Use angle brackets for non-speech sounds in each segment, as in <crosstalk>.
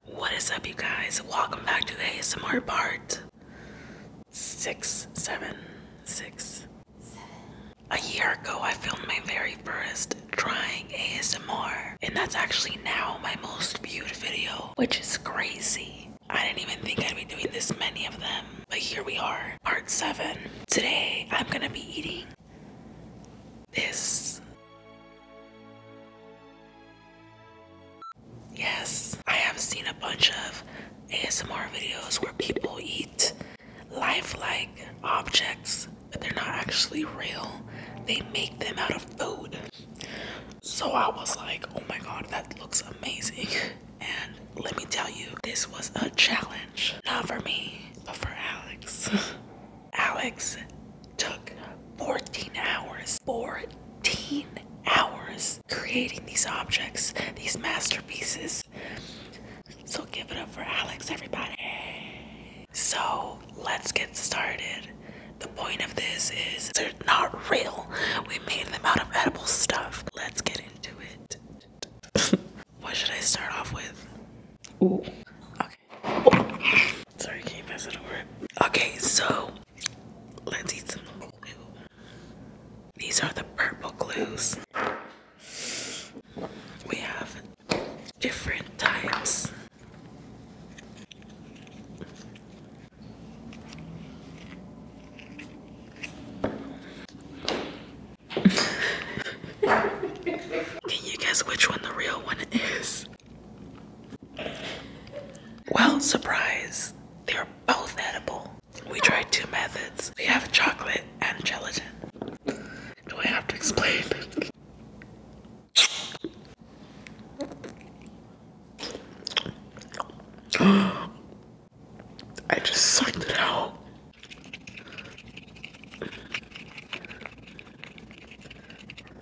What is up, you guys? Welcome back to ASMR part six, seven, six, seven. A year ago, I filmed my very first trying ASMR, and that's actually now my most viewed video, which is crazy. I didn't even think I'd be doing this many of them, but here we are, part seven. Today, I'm gonna be eating this. Yes, I have seen a bunch of ASMR videos where people eat lifelike objects, but they're not actually real. They make them out of food. So I was like, oh my god, that looks amazing. <laughs> And let me tell you, this was a challenge. Not for me, but for Alex. <laughs> Alex took 14 hours, 14 hours creating these objects, these masterpieces. So give it up for Alex, everybody. So let's get started. The point of this is they're not real. We made them out of edible stuff. Let's get into it. <laughs> what should I start off with? Ooh. Okay. Sorry, can't pass it over. Okay, so let's eat some glue. These are the purple glues. We have different types. <laughs> Can you guess which one the real one is? Well, surprise, they're both edible. We tried two methods. We have chocolate and gelatin. Do I have to explain? <gasps> I just sucked it out.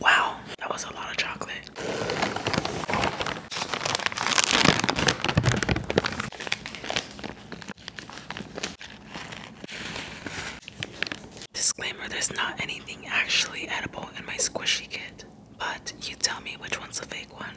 Wow, that was a lot of chocolate. Disclaimer there's not anything actually edible in my squishy kit, but you tell me which one's a fake one.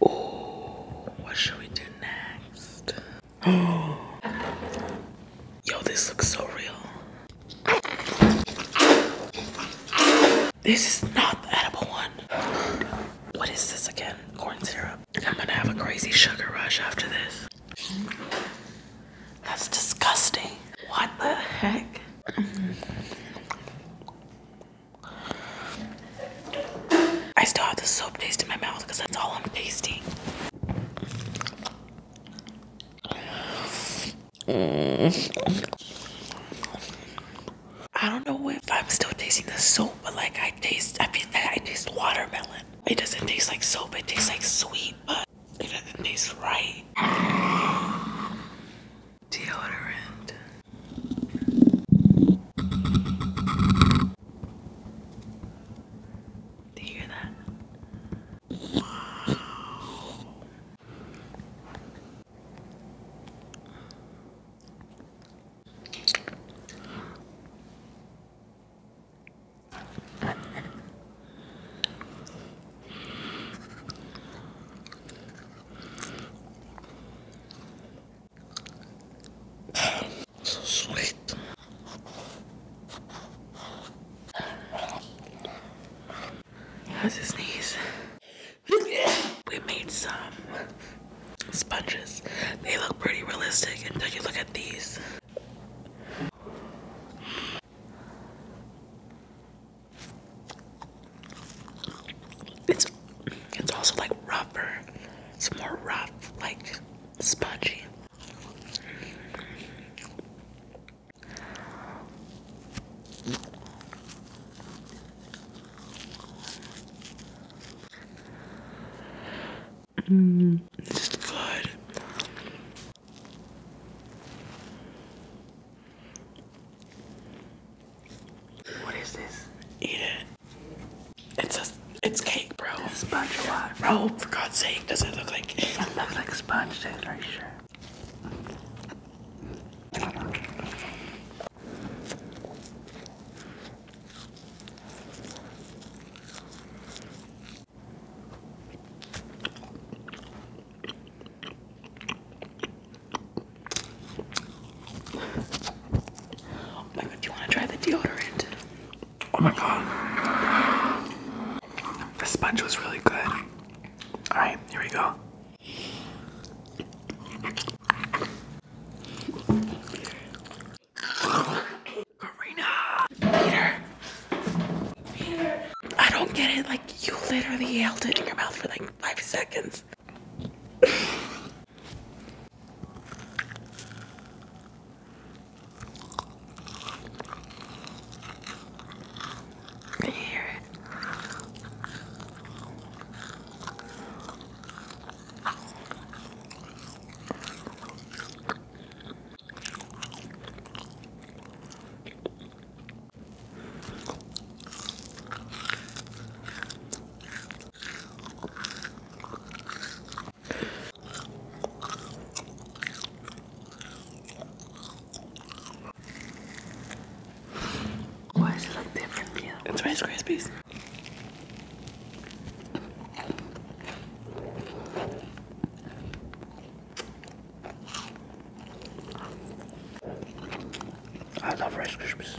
Oh, what should we do next? Oh, <gasps> yo, this looks so real. This is not the edible one. What is this again? Corn syrup. I'm gonna have a crazy sugar rush after this. That's disgusting. What the heck? I still have the soap taste in my mouth because that's all I'm tasting. I don't know if I'm still tasting the soap, but like I taste, I feel like I taste watermelon. It doesn't taste like soap, it tastes like sweet, but it doesn't taste right. Deodorant. Do you hear that? so sweet. How's his knees? we made some sponges. They look pretty realistic until you look at these. It's it's also like rougher. It's more rough, like spongy. Mm, this is good. What is this? Eat it. It's a it's cake, bro. It's Bro, for God's sake, does it look like it looks like sponge taste, are sure? Oh my god, do you want to try the deodorant? Oh my god. The sponge was really good. Alright, here we go. Karina! Peter! Peter! I don't get it. Like, you literally held it in your mouth for like five seconds. Can you hear it? Why does it look different from It's Rice Krispies. I love Rice Krispies.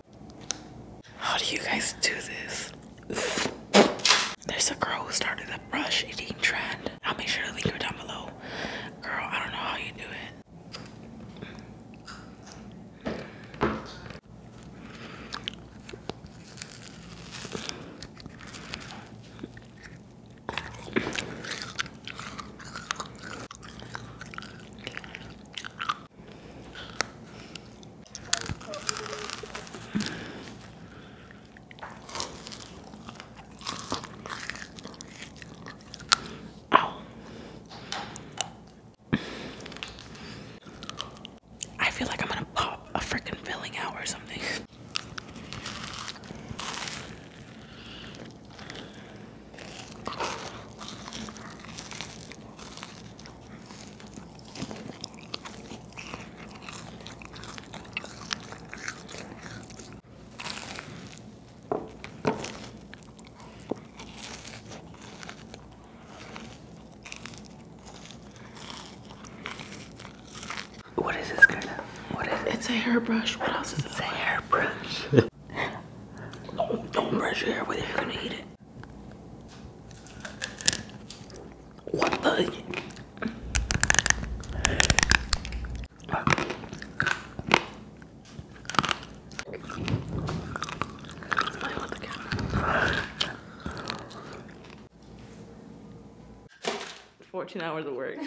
How do you guys do this? There's a girl who started the brush eating trend. I'll make sure to link her down below. Girl, I don't know how you do it. I feel like I'm gonna pop a freaking filling out or something. What is this, Gerda? What is it? It's a hairbrush. What else is it? It's a hairbrush. <laughs> Don't brush your hair with it. You're gonna eat it. One bug. Fourteen hours of work. <laughs>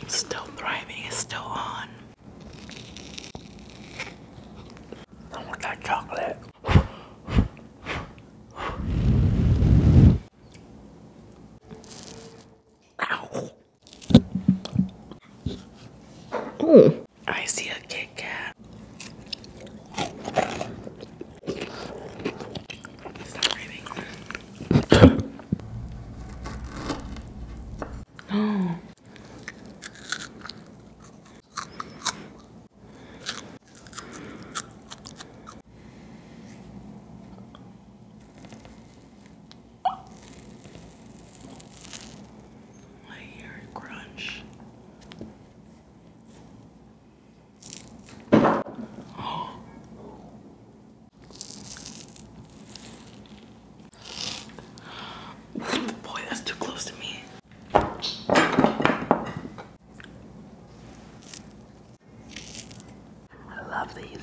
It's still thriving, it's still on. I want that chocolate. Ow. Oh. I see a Kit Kat. Stop breathing. <gasps> crunch. <gasps> Boy, that's too close to me. I love these.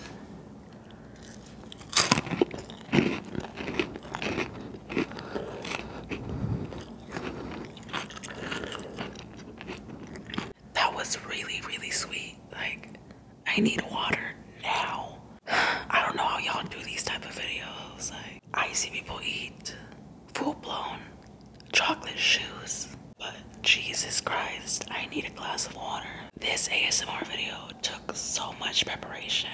That was really, really sweet. Like, I need water now. <sighs> I don't know how y'all do these type of videos. Like, I see people eat full-blown chocolate shoes. But Jesus Christ, I need a glass of water. This ASMR video took so much preparation.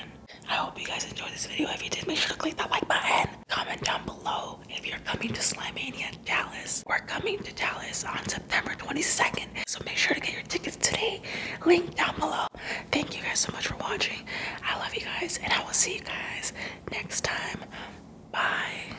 I hope you guys enjoyed this video. If you did, make sure to click that like button. Comment down below if you're coming to Slamania Dallas, we're coming to Dallas on September 22nd. So make sure to get your tickets today. Link down below. Thank you guys so much for watching. I love you guys, and I will see you guys next time. Bye.